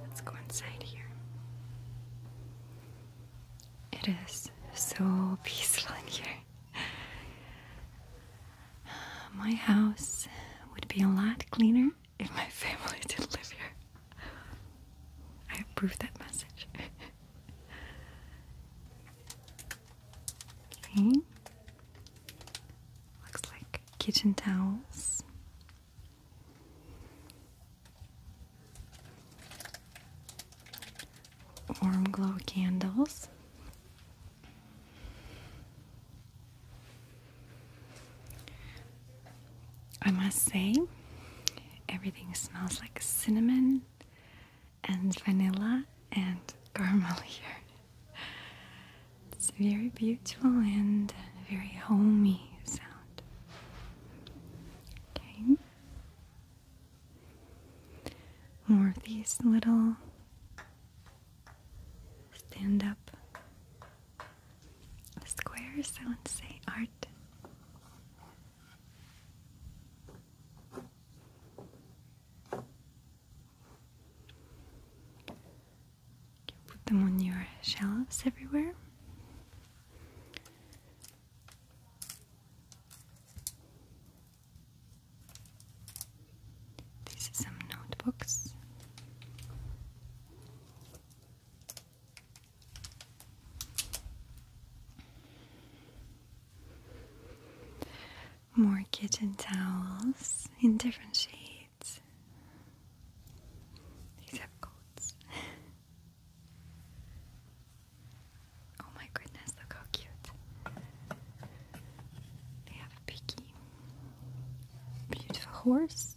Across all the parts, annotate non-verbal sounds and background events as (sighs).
Let's go inside here. It is so peaceful in here. (sighs) My house would be a lot cleaner if my (laughs) family didn't live here. I approve that message. (laughs) Okay. Looks like kitchen towels. Warm glow candles. I must say, everything smells like cinnamon and vanilla and caramel (laughs) here. It's very beautiful and very homey sound. Okay. More of these little stand up squares, I would say art. You put them on your shelves everywhere. These are some notebooks. More kitchen towels in different shades, except coats. oh my goodness, look how cute! They have a picky, beautiful horse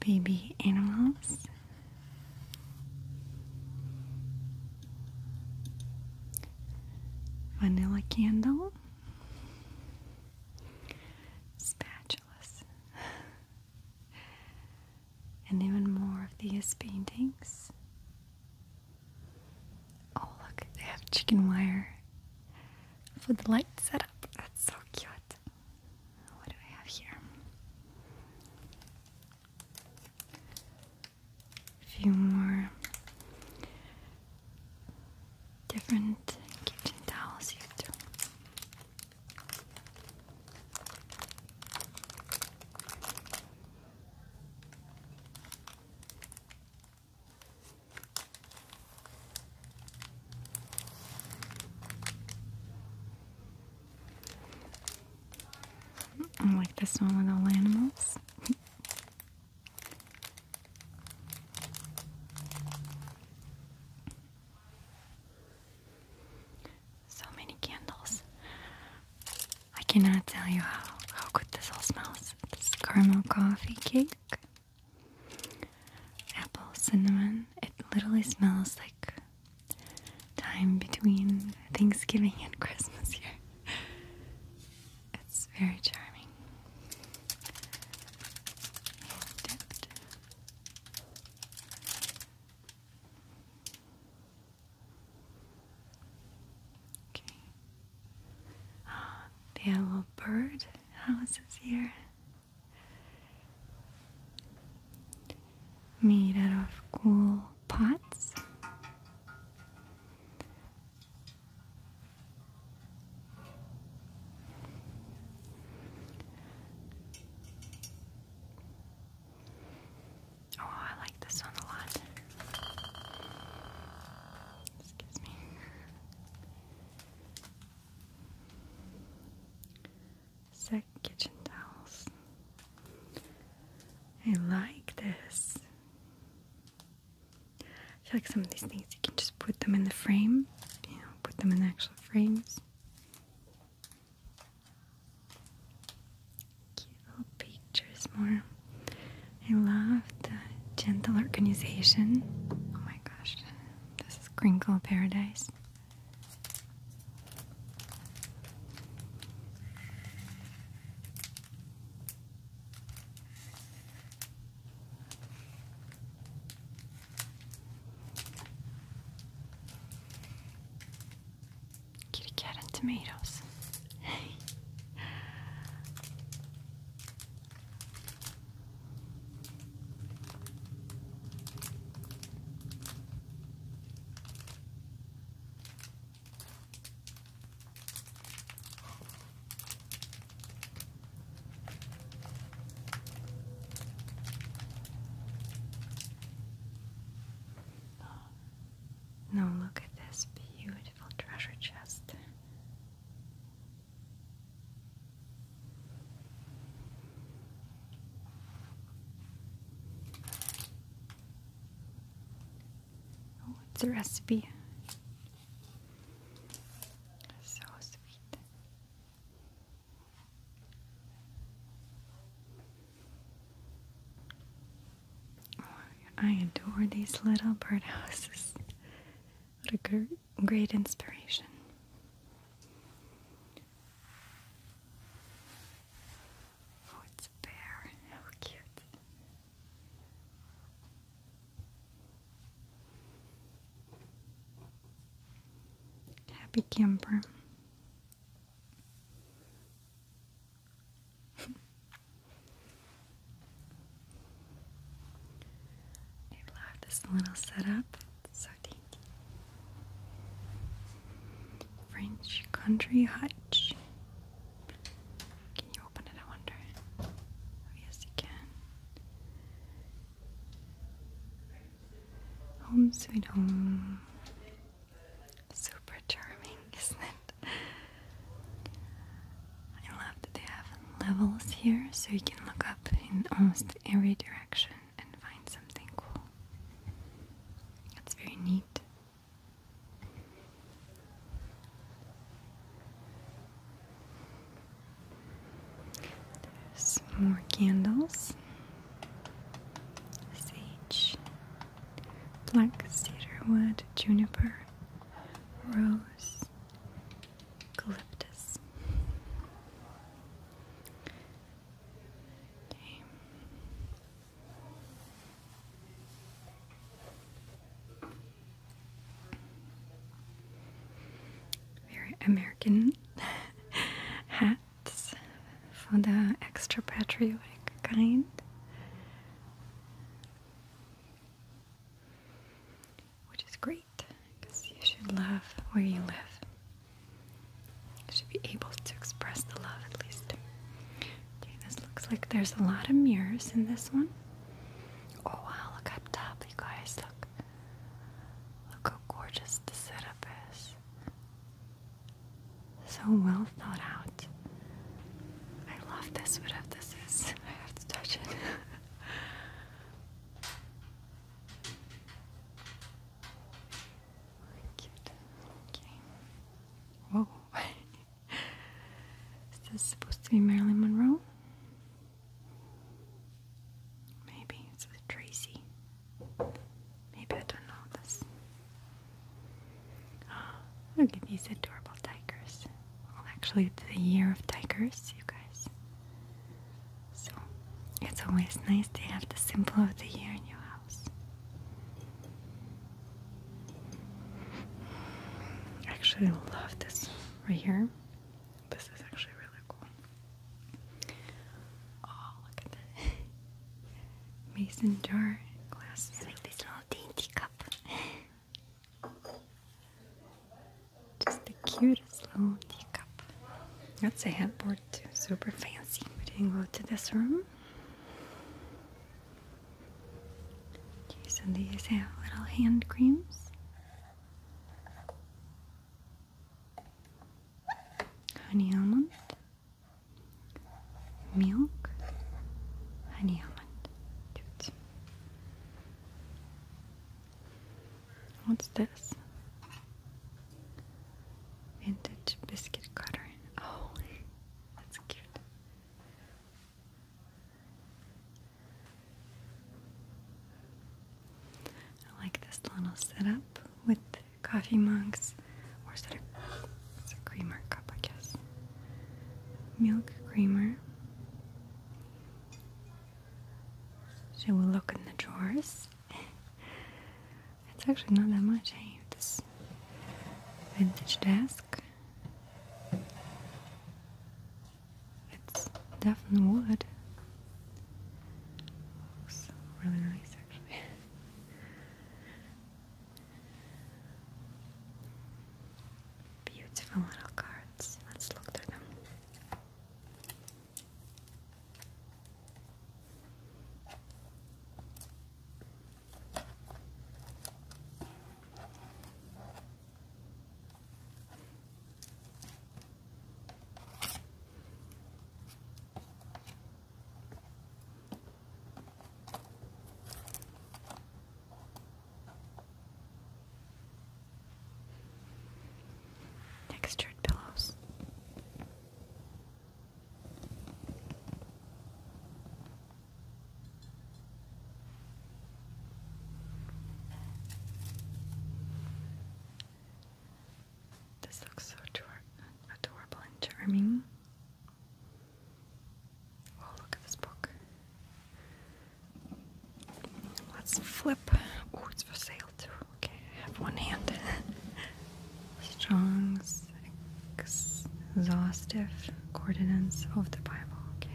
baby animals. Vanilla candle, spatulas, and even more of these paintings. Oh, look, they have chicken wire for the light setup. That's so cute. What do I have here? a few more different kitchen towels here I like this one with all animals. so many candles. I cannot tell you how, how good this all smells. This caramel coffee cake, apple, cinnamon. It literally smells like time between Thanksgiving and Christmas here. (laughs) It's very charming. okay. Oh, little bird houses here made out of cool pots. Oh, I like this one a lot. Excuse me. Set kitchen towels. I like this. I like some of these things you can just put them in the frame, you know, put them in actual frames. Cute little pictures more. I love the gentle organization. Oh my gosh, this is crinkle paradise. Kitty cat and tomatoes. Now, look at this beautiful treasure chest. Oh, it's a recipe. So sweet. I adore these little birdhouses. What a great inspiration. Oh, it's a bear. How cute. Happy camper. I (laughs) love this little setup. so deep. French country hutch. Can you open it? I wonder. Oh, yes, you can. Home sweet home. Super charming, (laughs) isn't it? I love that they have levels here so you can look up in almost every direction and find something cool. That's very neat. There's more candles, sage, black cedar wood, juniper, rose, eucalyptus. Very American (laughs) hats for the extra patriotic kind. Which is great because you should love where you live should be able to express the love at least. Okay, this looks like there's a lot of mirrors in this one. Oh wow, look up top, you guys. Look. Look how gorgeous the setup is. So well thought out. I love this, whatever this is. (laughs) I have to touch it. (laughs) Cute. Whoa. (laughs) Is this supposed to be Marilyn Monroe? Maybe it's with Tracy. Maybe I don't know this. (gasps) Look at these adorable tigers. Well, actually, it's the year of tigers, you guys. So it's always nice to have the symbol of the year in your perhaps. I actually love this right here. This is actually really cool. Oh, look at that. (laughs) Mason jar glasses. It's like this little dainty cup. Just the cutest little teacup. That's a headboard super fancy. We didn't go to this room. Okay, so these have little hand creams. Honey almond. Milk. Honey almond. What's this? Vintage biscuit cutter. Oh, that's cute. I like this little setup with coffee mugs, or is it a creamer cup, I guess. Milk creamer. She will look in the drawers. (laughs) It's actually not that much. I have this vintage desk. It's definitely wood. Looks really nice, actually. Beautiful little cards. Let's look through them. Textured pillows. This looks so adorable and charming. Oh, look at this book. Let's flip. Oh, it's for sale too. Okay, I have one hand. (laughs) Strong, exhaustive coordinates of the Bible. Okay.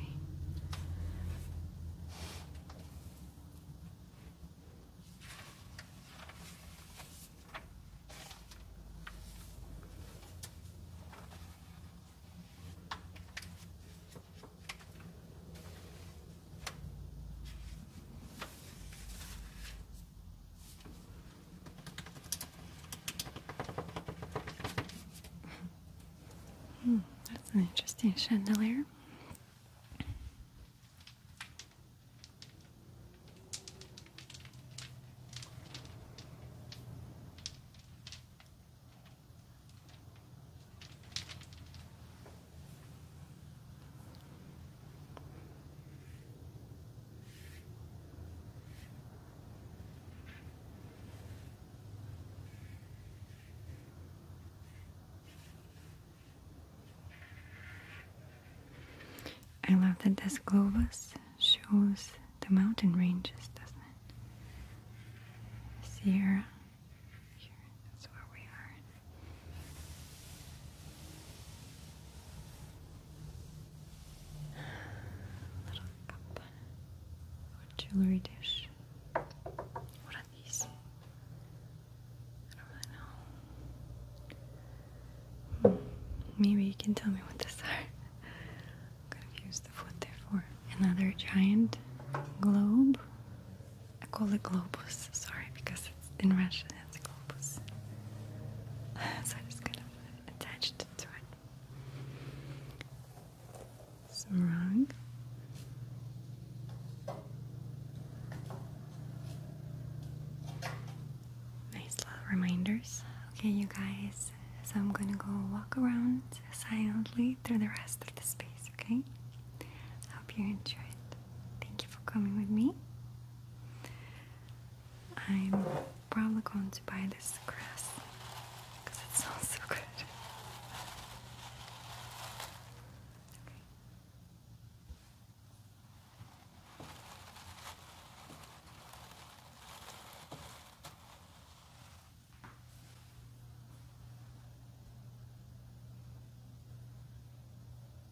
Hmm, that's an interesting chandelier. I love that this globe shows the mountain ranges, doesn't it? Sierra. Here, that's where we are. Little cup jewelry dish. What are these? I don't really know. Hmm, maybe you can tell me what these are. I'm confused of what they're for. Another giant globe. I call it globus, sorry, because in Russian it's globus. (laughs) so I just kind of attached it to it. Some wrong. Nice little reminders. Okay, you guys. So I'm gonna go walk around silently through the rest of the space, okay? I hope you enjoy it. Thank you for coming with me. I'm probably going to buy this dress. because it sounds so good. (laughs) Okay.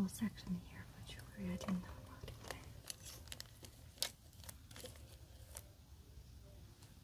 Sage. whole section here for jewelry. I didn't know about it.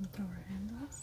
the door handles.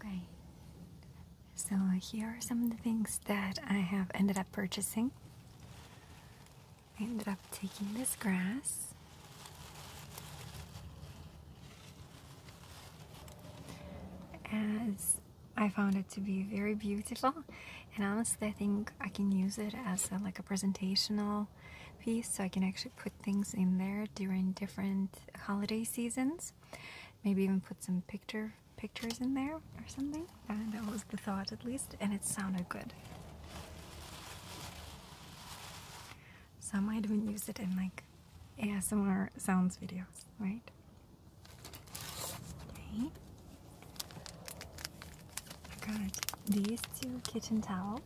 Okay, so here are some of the things that I have ended up purchasing. I ended up taking this grass. As I found it to be very beautiful and honestly I think I can use it as like a presentational piece so I can actually put things in there during different holiday seasons maybe even put some picture pictures in there or something uh, that was the thought at least and it sounded good so I might even use it in like ASMR sounds videos right I got these two kitchen towels.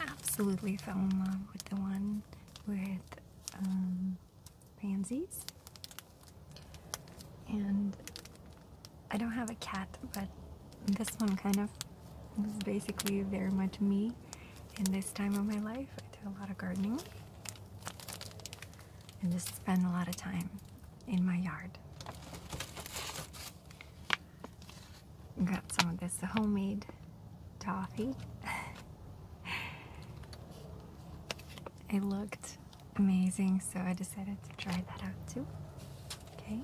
Absolutely fell in love with the one with um, pansies. And I don't have a cat, but this one kind of was basically very much me in this time of my life. I do a lot of gardening and just spend a lot of time in my yard. Got some of this homemade toffee. (laughs) it looked amazing, so I decided to try that out too. Okay.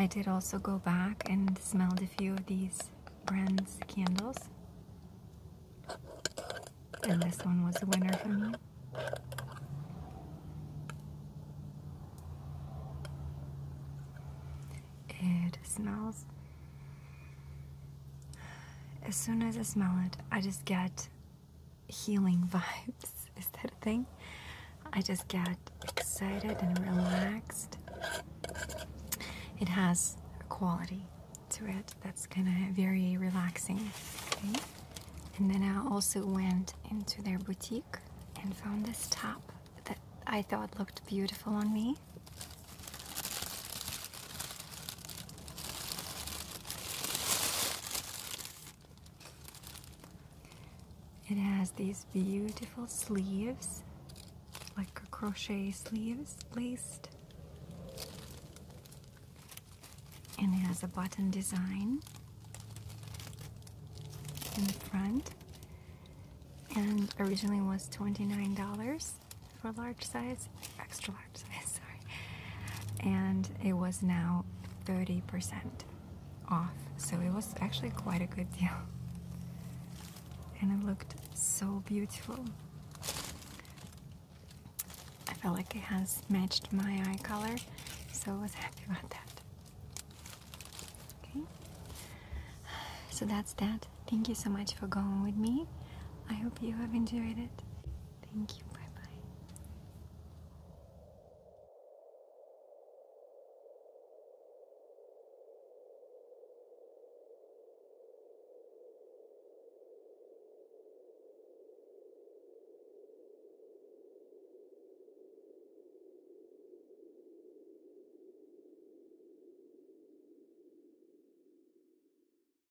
I did also go back and smelled a few of these brands candles. And this one was a winner for me. It smells. As soon as I smell it, I just get healing vibes. (laughs) Is that a thing? I just get excited and relaxed. It has a quality to it that's kind of very relaxing. And then I also went into their boutique and found this top that I thought looked beautiful on me. It has these beautiful sleeves, like crochet sleeves laced. And it has a button design in the front and originally was $29 dollars for large size, extra large size, (laughs) sorry. And it was now 30% off. So it was actually quite a good deal. And it looked so beautiful. I felt like it has matched my eye color, so I was (laughs) happy about that. Okay. So that's that. Thank you so much for going with me. I hope you have enjoyed it. Thank you. Bye bye.